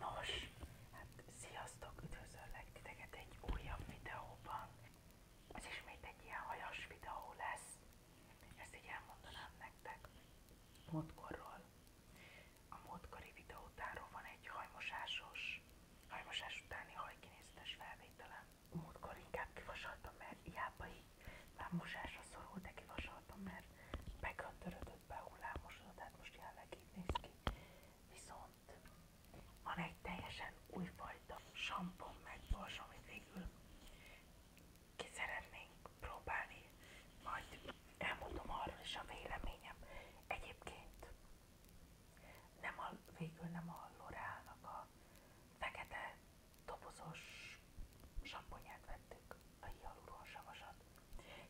Nos, hát sziasztok, üdvözöllek titeket egy újabb videóban. Ez ismét egy ilyen hajas videó lesz. Ezt így elmondanám nektek. Módkorról. A módkori videó utánról van egy hajmosásos, hajmosás utáni hajkinézetes felvételem. Múltkor inkább mert hiába így már mosásra szorul, de kivasaltam, mert megöntörödött, behullámosodott, hát most jelenleg így néz ki. Viszont van egy teljesen újfajta sampon meg bors, amit végül ki szeretnénk próbálni, majd elmondom arról is a véleményem. Egyébként nem a, végül nem a L'Oreal-nak a fekete dobozos samponyát vettük, a hialuronsavasat.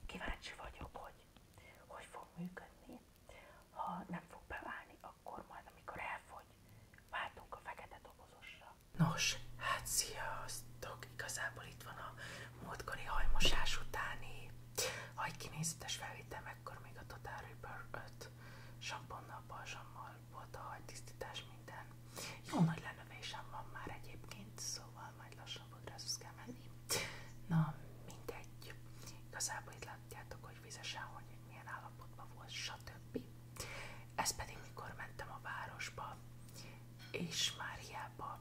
Kíváncsi vagyok, hogy hogy fog működni. Ha nem fog beválni, akkor majd, amikor elfogy, váltunk a fekete dobozosra. Nos, hát Igazából itt van a múltkori hajmosás utáni hajkinézetes felvétel, mekkor még a Total Reaper 5 samponnal, balzsammal volt a hajtisztítás minden. Jó nagy lenövésem van már egyébként, szóval majd lassan fodrászhoz kell menni. Na, mindegy. Igazából itt látjátok, hogy vizesen, hogy milyen állapotban volt, stb. Ez pedig mikor mentem a városba, és már hiába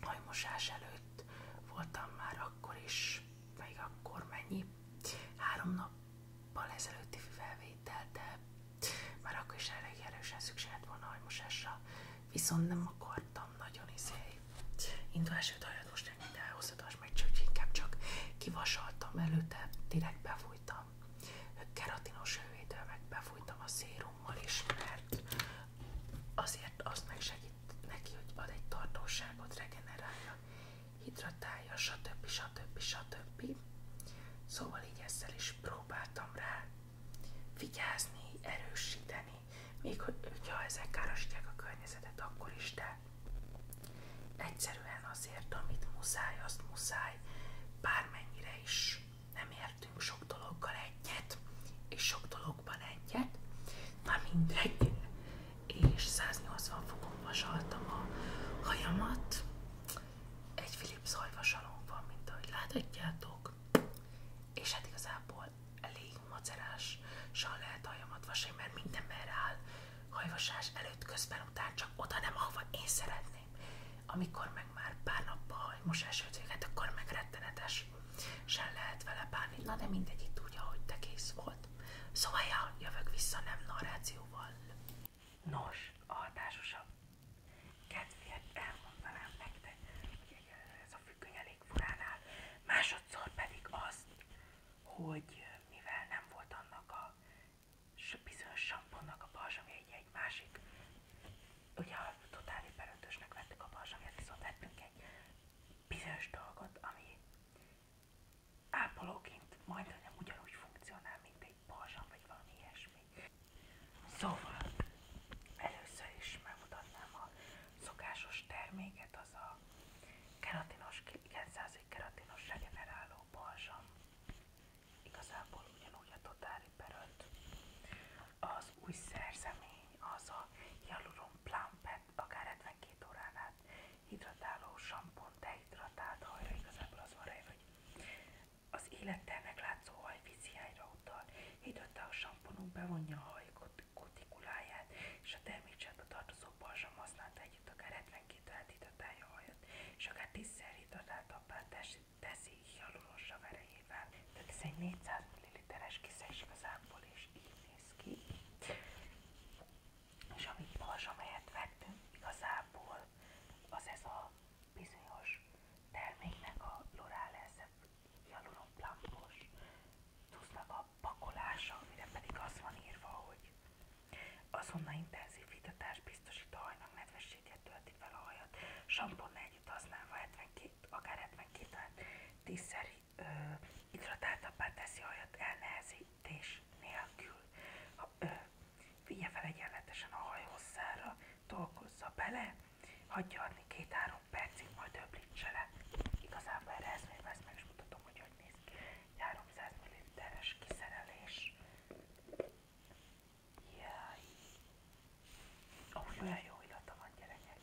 hajmosás előtt voltam már akkor is, még akkor mennyi, három nap ezelőtti felvétel, de már akkor is elég erősen szükséged volna hajmosásra, viszont nem akartam nagyon izé. Indulás előtt most nem minden elhozhatás meg, csak inkább csak kivasaltam előtte, direkt befújtam. Keratinos hővédővel meg befújtam a szérummal is, mert azért azt megsegít neki, hogy ad egy tartóságot, regenerálja, hidratálja, stb. stb. stb. Szóval így ezzel is próbáltam rá vigyázni, erősíteni, még hogyha ezek károsítják a környezetet, akkor is, de egyszerűen azért, amit muszáj, azt muszáj, bármennyire is nem értünk sok dologgal egyet, és sok dologban egyet, na mindegy, és 180 fokon vasaltam a hajamat, egy Philips hajvasalónk van, mint ahogy láthatjátok, és hát igazából elég macerással lehet hajamat vasalni, mert minden merre áll hajvasás előtt, közben, után csak oda nem, ahova én szeretném. Amikor meg már pár nappal hajmosás ötvéget, akkor meg rettenetes sem lehet vele bánni. Na de mindegy, itt úgy, ahogy te kész volt. Szóval ja, jövök vissza nem narrációval, Nos, a társasabb kedvéért elmondanám nektek, hogy ez a függöny elég furán áll. Másodszor pedig azt, hogy mivel nem volt annak a bizonyos samponnak a balzsamja, egy, egy másik, ugye a totál éberöntősnek vettük a balzsamját, viszont vettünk egy bizonyos dolgot, ami ápolóként majdnem ugyanúgy funkcionál, mint egy balzsam, vagy valami ilyesmi. Szóval először is megmutatnám a szokásos terméket, az a keratinos, 900 keratinos regeneráló balzsam. Igazából ugyanúgy a totári repair Az új szerzemény az a Hyaluron Plumpet akár ebben két órán át hidratáló sampont, dehidratált hajra, igazából az van hogy az élettelnek látszó haj víziányra utal, hidratáló samponunk bevonja a kutikuláját, és a termékcsába tartozó balzsam használta együtt akár 72 órát hidratálja a hajat, és akár 10-szer hidratáltabbá teszi hialuronsav erejével. Tehát ez egy 400 ml-es kiszeg igazából is most így néz ki. És amit magas az ez a bizonyos terméknek a L'Oreal Essence Hyaluron Plumpos a pakolása, amire pedig az van írva, hogy intenzív vitatás biztosít a hajnak nedvességet, tölti fel a hajat, samponnál együtt használva 72, akár 72 ö, hidratáltabbá teszi olyat elnehezítés nélkül. Ha, ö, vigye fel egyenletesen a haj hosszára, dolgozza bele, hagyja adni két-három percig, majd öblítse le. Igazából erre ez még vesz, meg is mutatom, hogy hogy néz ki. 300 ml-es kiszerelés. Jaj! Amúgy olyan jó illata van gyerekek,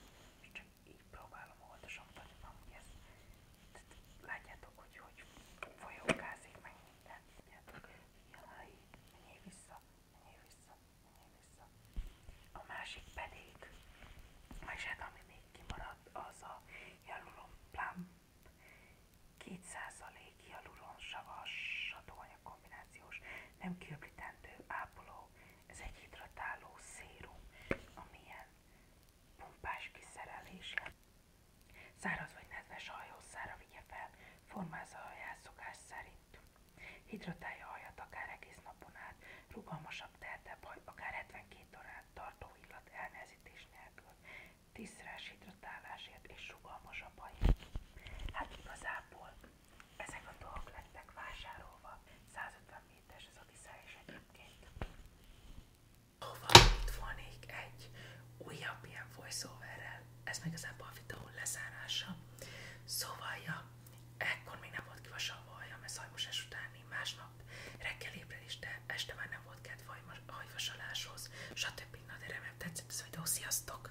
és csak így próbálom oldosomtani, amúgy ez, látjátok, hogy hogy folyókázik meg minden, tudjátok, jaj, menjél vissza, menjél vissza, menjél vissza. A másik pedig, és hát ami még kimaradt, az a Jaluron Plump 2% Jaluron savas satóanyag kombinációs, nem kiöblítendő ápoló, ez egy hidratáló szérum, amilyen pumpás kiszerelése. Száraz vagy nedves hajhosszára vigye fel, formázza a haját szerint. Hidratálja a hajat akár egész napon át, rugalmasabb, tehetebb haj, akár 72 órát tartó illat elnehezítés nélkül. Tízszeres hidratálásért és rugalmasabb haj. Hát igazából ezek a dolgok lettek vásárolva. 150 méteres ez a viszá is egyébként. Hova itt volnék egy újabb ilyen voiceoverrel. Ez meg igazából a videó lezárása. Szóval, ja, ekkor még nem volt kivasalva a hajam, ez hajmosás utáni másnap reggel ébredés, de este már nem volt kedv hajvasaláshoz, stb. Na de remélem tetszett ez a videó, sziasztok!